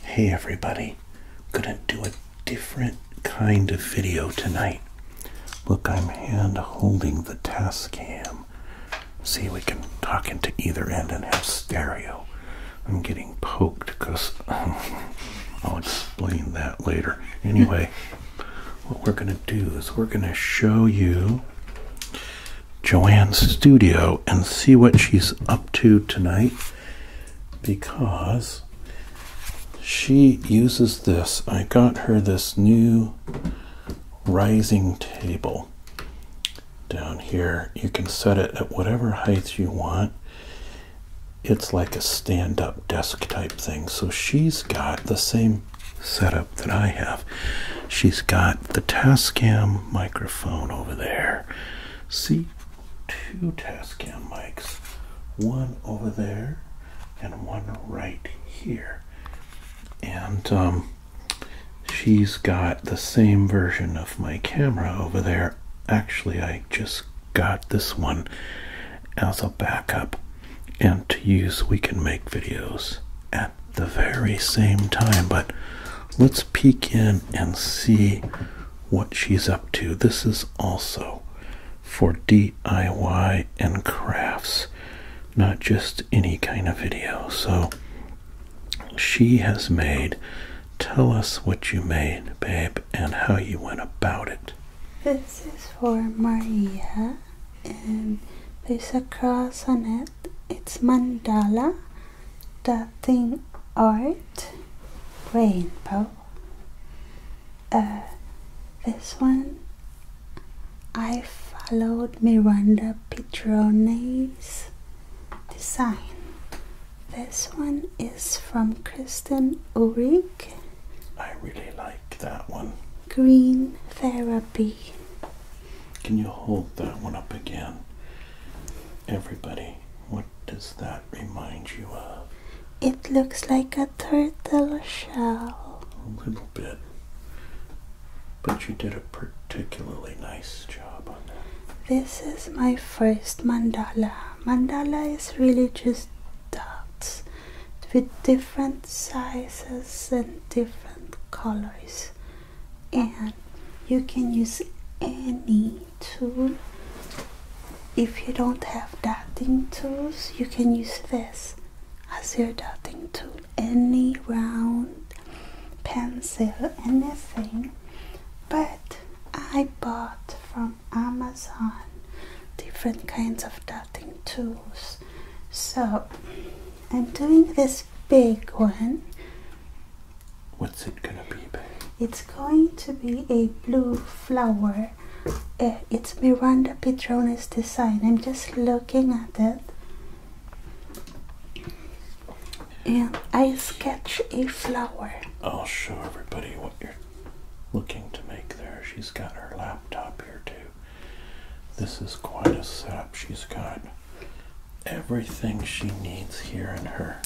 Hey everybody, I'm gonna do a different kind of video tonight. Look, I'm hand holding the Tascam. See, we can talk into either end and have stereo. I'm getting poked because I'll explain that later. Anyway, what we're gonna do is we're gonna show you Joanne's studio and see what she's up to tonight because she uses this. I got her this new rising table down here. You can set it at whatever heights you want. It's like a stand up desk type thing. So she's got the same setup that I have. She's got the Tascam microphone over there. See, two Tascam mics, one over there and one right here. And um, she's got the same version of my camera over there. Actually, I just got this one as a backup and to use we can make videos at the very same time but let's peek in and see what she's up to. This is also for DIY and crafts, not just any kind of video. So she has made. Tell us what you made, babe, and how you went about it. This is for Maria, and there's a cross on it. It's mandala dotting art rainbow. Uh, this one I followed Miranda Petrone's design. This one is from Kristen Ulrich. I really like that one. Green Therapy. Can you hold that one up again? Everybody, what does that remind you of? It looks like a turtle shell. A little bit. But you did a particularly nice job on that. This is my first mandala. Mandala is really just dots with different sizes and different colors and you can use any tool if you don't have dotting tools you can use this as your dotting tool any round pencil anything but i bought from amazon different kinds of dotting tools so i'm doing this big one What's it gonna be, babe? It's going to be a blue flower. Eh, it's Miranda Petronis' design. I'm just looking at it. And I sketch a flower. I'll show everybody what you're looking to make there. She's got her laptop here too. This is quite a setup she's got everything she needs here in her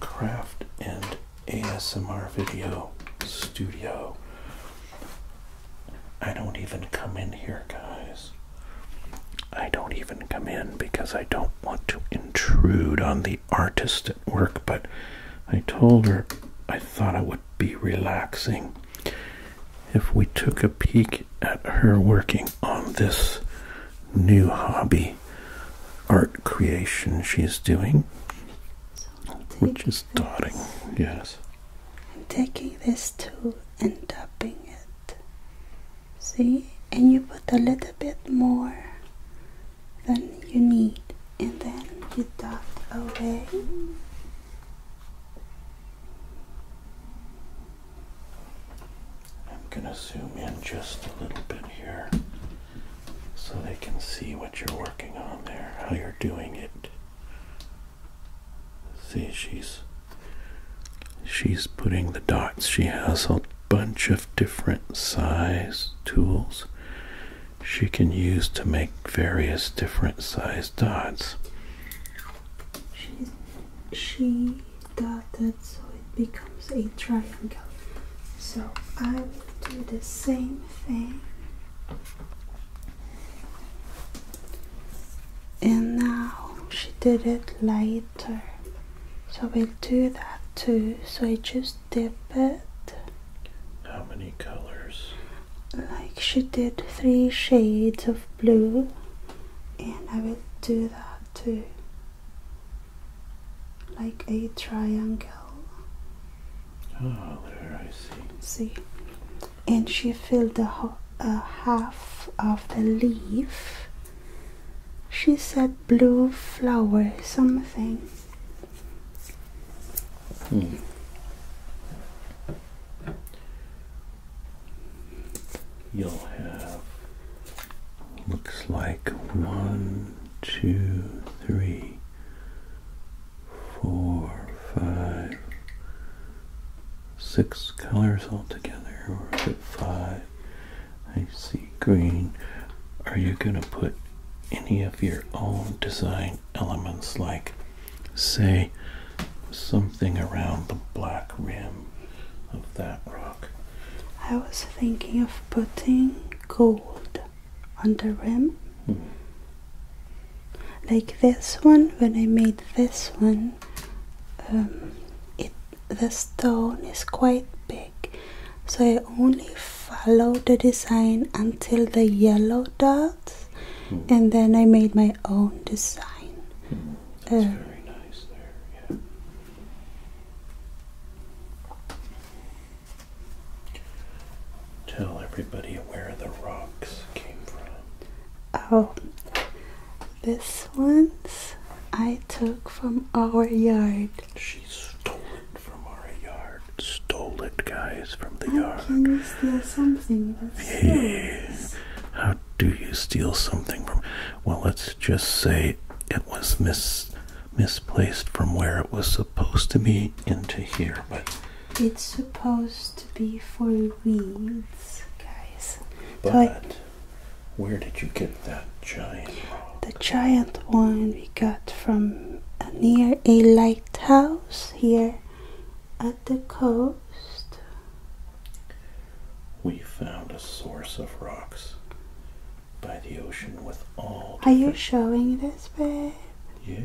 craft and ASMR video studio. I don't even come in here, guys. I don't even come in because I don't want to intrude on the artist at work, but I told her I thought I would be relaxing if we took a peek at her working on this new hobby art creation she is doing, which is dotting. Yes. I'm taking this tool and dubbing it. See? And you put a little bit more than you need, and then you dot away. I'm going to zoom in just a little bit here so they can see what you're working on there, how you're doing it. See, she's she's putting the dots. She has a bunch of different size tools she can use to make various different size dots. She, she dotted so it becomes a triangle so I will do the same thing and now she did it later so we'll do that too so I just dip it how many colors like she did three shades of blue and I will do that too like a triangle oh there I see see and she filled the uh, half of the leaf she said blue flower something hmm you'll have looks like one, two, three, four, five, six colors altogether, or is it five? I see green. Are you going to put any of your own design elements like say something around the black rim of that rock. I was thinking of putting gold on the rim. Hmm. Like this one, when I made this one, um, it the stone is quite big, so I only followed the design until the yellow dots, hmm. and then I made my own design. Hmm. It's uh. very nice there, Tell everybody where the rocks came from. Oh, this one's I took from our yard. She stole it from our yard. Stole it, guys, from the yard. Can you steal something? That's do you steal something from? Well, let's just say it was mis misplaced from where it was supposed to be into here, but it's supposed to be for weeds, guys. But where did you get that giant? The giant one we got from uh, near a lighthouse here at the coast? We found a source of rocks by the ocean with all. Are you showing this, babe? Yes,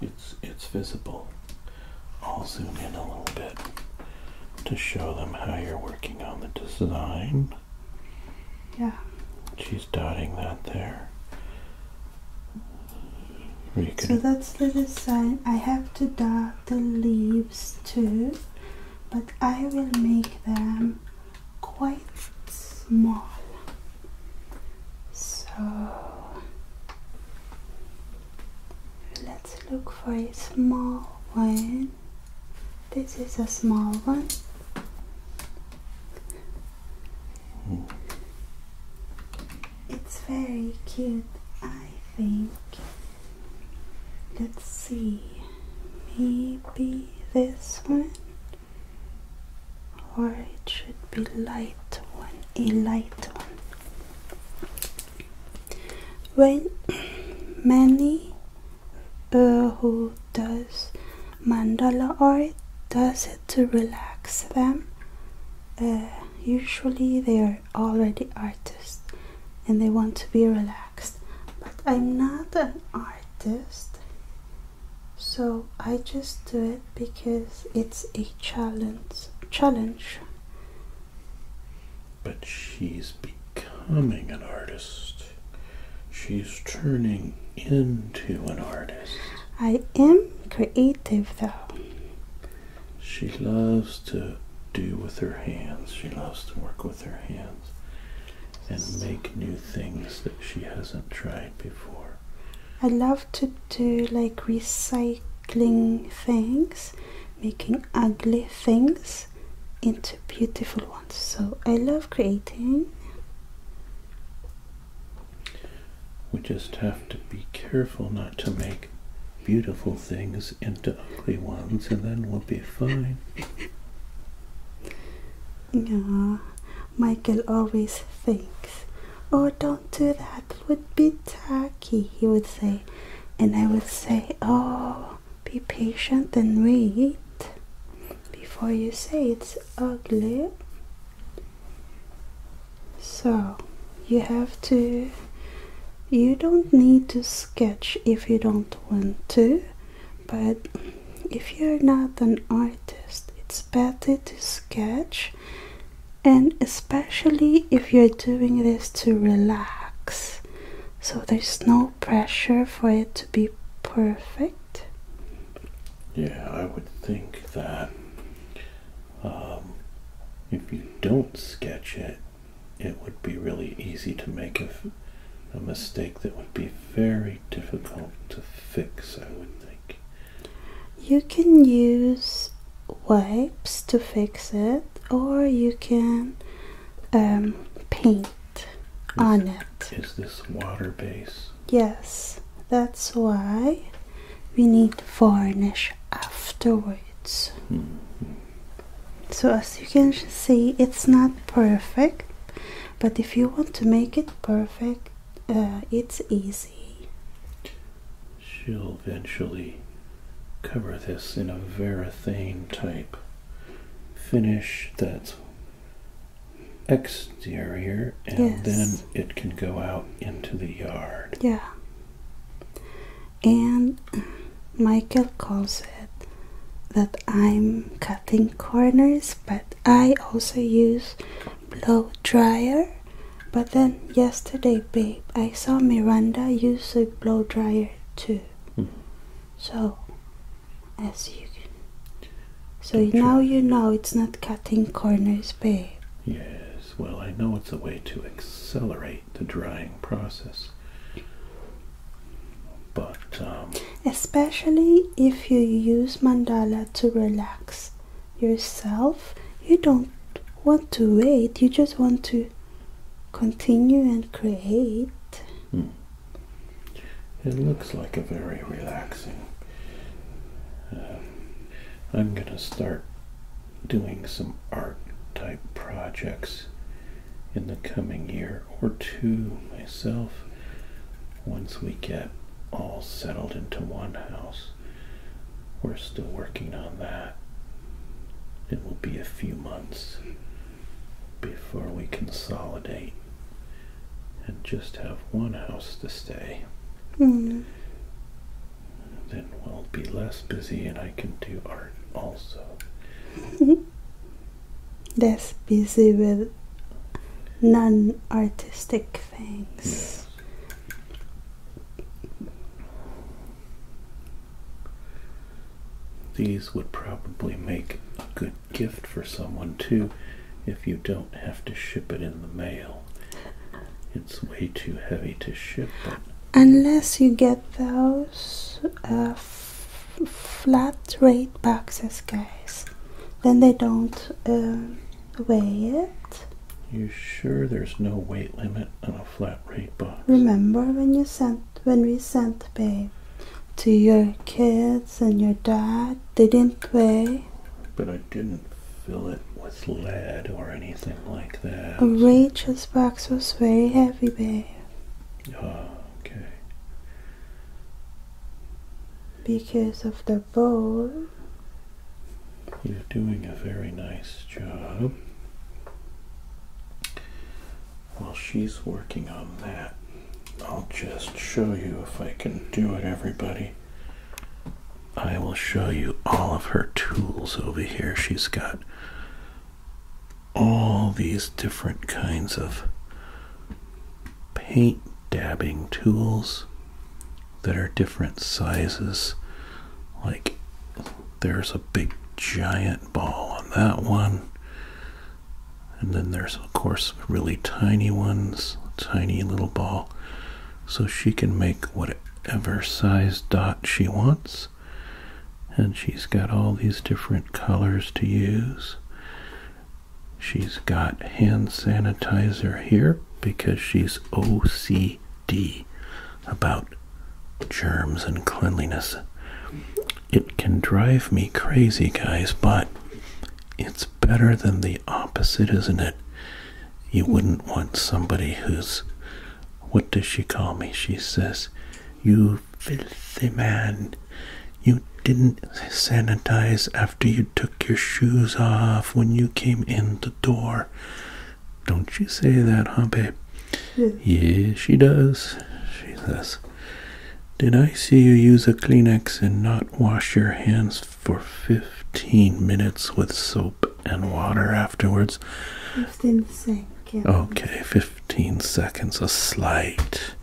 it's it's visible. I'll zoom in a little bit to show them how you're working on the design. Yeah. She's dotting that there. So that's the design. I have to dot the leaves too but I will make them quite small so let's look for a small one this is a small one hmm. it's very cute I think. Let's see, maybe this one, or it should be light one, a light one. When many uh, who does mandala art does it to relax them. Uh, usually they are already artists and they want to be relaxed. But I'm not an artist, so I just do it because it's a challenge. Challenge. But she's becoming an artist. She's turning into an artist. I am creative though. She loves to do with her hands. She loves to work with her hands and make new things that she hasn't tried before. I love to do like recycling things, making ugly things into beautiful ones. So I love creating we just have to be careful not to make beautiful things into ugly ones, and then we'll be fine. Yeah, Michael always thinks, Oh, don't do that, it would be tacky, he would say. And I would say, Oh, be patient and wait before you say it's ugly so you have to you don't need to sketch if you don't want to but if you're not an artist it's better to sketch and especially if you're doing this to relax so there's no pressure for it to be perfect yeah i would think that um, if you don't sketch it, it would be really easy to make a, a mistake that would be very difficult to fix, I would think. You can use wipes to fix it, or you can um, paint on it. Is this water base? Yes. That's why we need varnish afterwards. So, as you can see, it's not perfect, but if you want to make it perfect, uh, it's easy. She'll eventually cover this in a varathane type finish that exterior and then it can go out into the yard. Yeah. And Michael calls it that I'm cutting corners, but I also use blow dryer. But then yesterday, babe, I saw Miranda use a blow dryer too. Hmm. So, as you can. So now you. you know it's not cutting corners, babe. Yes well, I know it's a way to accelerate the drying process. But. Um, Especially if you use mandala to relax yourself, you don't want to wait, you just want to continue and create. Hmm. It looks like a very relaxing um, I'm going to start doing some art type projects in the coming year or two myself once we get all settled into one house. We're still working on that. It will be a few months before we consolidate and just have one house to stay. Hmm. Then we'll be less busy and I can do art also. less busy with non artistic things. These would probably make a good gift for someone too if you don't have to ship it in the mail. It's way too heavy to ship. Unless you get those uh, flat rate boxes, guys, then they don't um, weigh it. You sure there's no weight limit on a flat rate box? Remember when you sent when we sent babe to your kids and your dad, they didn't weigh. But I didn't fill it with lead or anything like that. A Rachel's box was very heavy, babe. Oh, okay. Because of the bowl. You're doing a very nice job. While she's working on that, I'll just show you if I can do it, everybody. I will show you all of her tools over here. She's got all these different kinds of paint dabbing tools that are different sizes. Like there's a big giant ball on that one. And then there's, of course, really tiny ones, tiny little ball. So she can make whatever size dot she wants. And she's got all these different colors to use. She's got hand sanitizer here because she's OCD about germs and cleanliness. It can drive me crazy, guys, but it's better than the opposite, isn't it? You wouldn't want somebody who's, what does she call me? She says, You filthy man, you didn't sanitize after you took your shoes off when you came in the door. Don't you say that, huh, babe? Yeah. she does. She says, Did I see you use a Kleenex and not wash your hands for 15 minutes with soap and water afterwards. 15 seconds. Okay, 15 seconds. A slight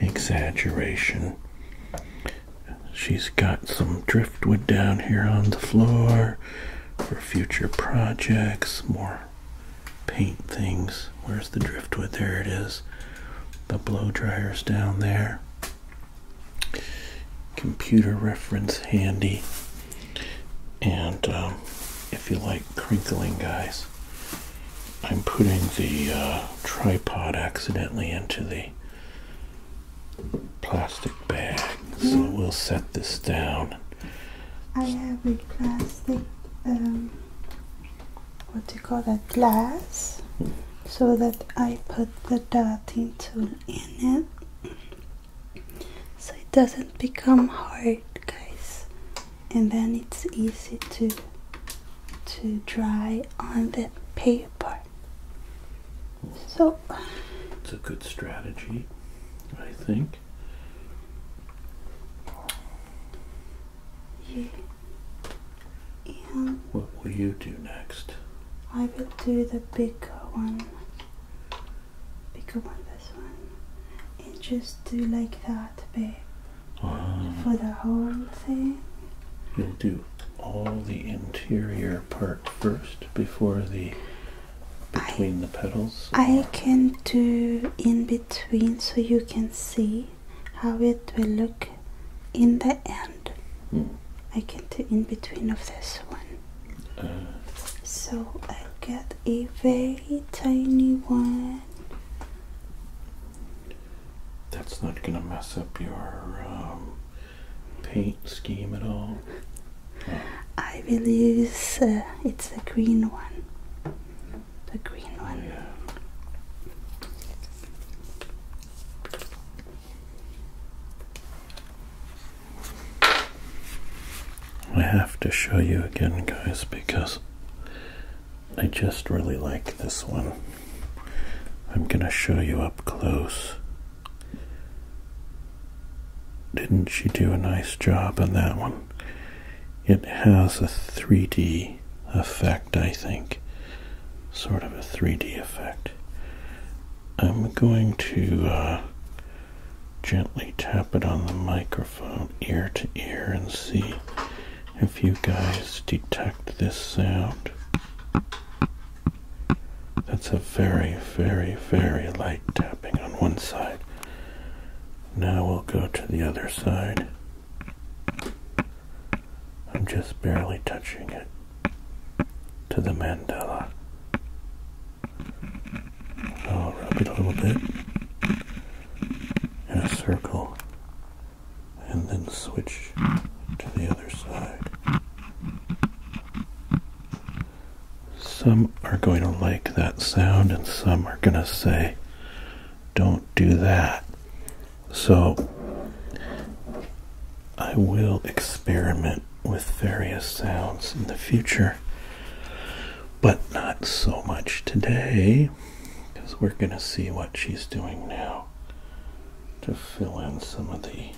exaggeration. She's got some driftwood down here on the floor for future projects, more paint things. Where's the driftwood? There it is. The blow dryer's down there computer reference handy. And um, if you like crinkling, guys, I'm putting the uh, tripod accidentally into the plastic bag. So we'll set this down. I have a plastic um, what do you call that glass so that I put the dotting tool in it so it doesn't become hard guys and then it's easy to to dry on the paper so it's a good strategy I think what will you do next? I will do the bigger one. Bigger one, this one. And just do like that, babe. Ah. For the whole thing. You'll do all the interior part first before the between the petals? I can do in between so you can see how it will look in the end. Hmm. I get the in between of this one. Uh. So I get a very tiny one. That's not gonna mess up your um, paint scheme at all. Oh. I believe uh, it's the green one. The green one. I have to show you again, guys, because I just really like this one. I'm going to show you up close. Didn't she do a nice job on that one? It has a 3D effect. I think. Sort of a 3D effect. I'm going to uh, gently tap it on the microphone ear to ear and see if you guys detect this sound. That's a very, very, very light tapping on one side. Now we'll go to the other side. I'm just barely touching it to the mandala. I'll rub it a little bit in a circle and then switch to the other side. Some are going to like that sound and some are going to say, don't do that. So I will experiment with various sounds in the future, but not so much today because we're going to see what she's doing now to fill in some of the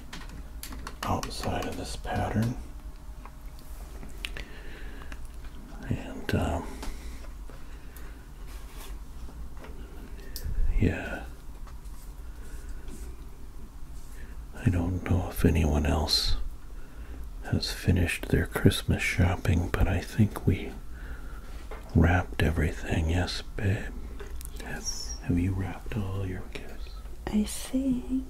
outside of this pattern. And um, yeah. I don't know if anyone else has finished their Christmas shopping, but I think we wrapped everything. Yes, babe. Yes. Have, you wrapped all your gifts? I think.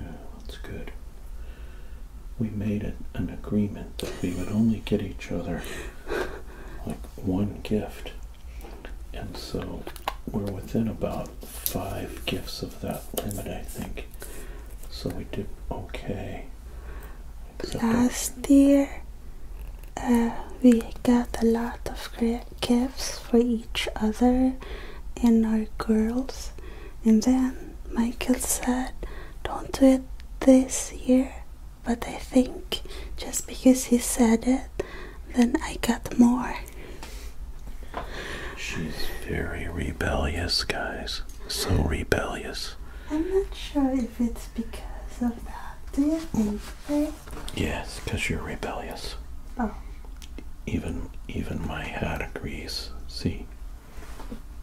Yeah, that's good we made it an agreement that we would only get each other like one gift. And so we're within about five gifts of that limit, I think. So we did okay. Except Last year, uh, we got a lot of gifts for each other and our girls, and then Michael said, Don't do it this year. But I think just because he said it, then I got more. She's very rebellious, guys. So rebellious. I'm not sure if it's because of that. Do you think, Yes, because you're rebellious. Oh. Even even my hat agrees. See,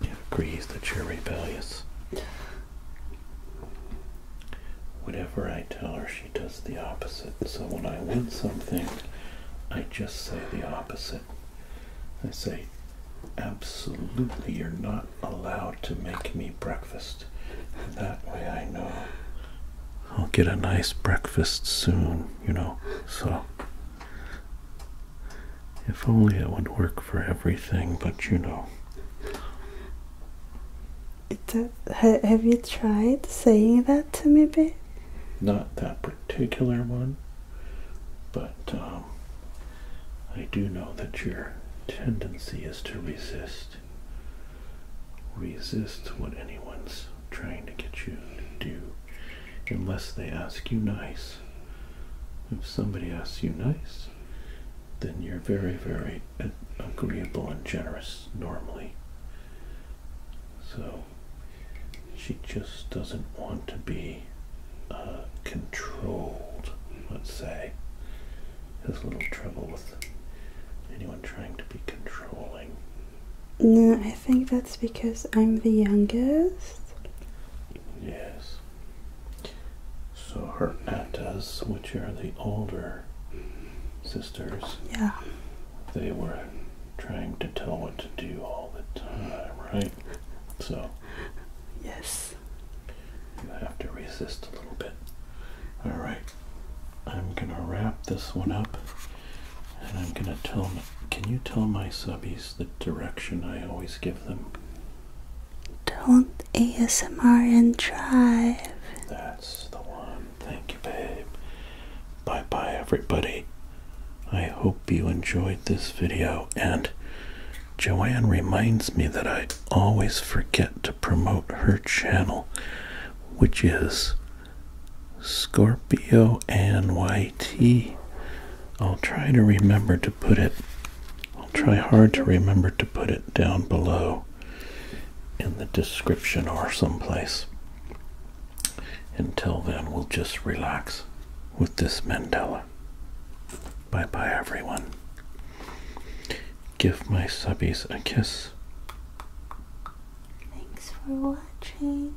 it agrees that you're rebellious. Whatever I tell her, she does the opposite. So when I want something, I just say the opposite. I say, absolutely, you're not allowed to make me breakfast. that way I know I'll get a nice breakfast soon, you know. So if only it would work for everything, but you know. have you tried saying that to me, babe? Not that particular one, but um, I do know that your tendency is to resist. Resist what anyone's trying to get you to do, unless they ask you nice. If somebody asks you nice, then you're very, very agreeable and generous normally. So she just doesn't want to be uh, controlled, let's say. Has a little trouble with anyone trying to be controlling. No, I think that's because I'm the youngest. Yes. So her Aptas, which are the older sisters, yeah, they were trying to tell what to do all the time, right? So yes, you have to resist a little bit. All right, I'm gonna wrap this one up, and I'm gonna tell. Can you tell my subbies the direction I always give them. Don't ASMR and drive. That's the one. Thank you, babe. Bye bye, everybody. I hope you enjoyed this video. And Joanne reminds me that I always forget to promote her channel, which is Scorpio and White. YT. I'll try to remember to put it, I'll try hard to remember to put it down below in the description or someplace. Until then, we'll just relax with this Mandela. Bye bye, everyone. Give my subbies a kiss. Thanks for watching.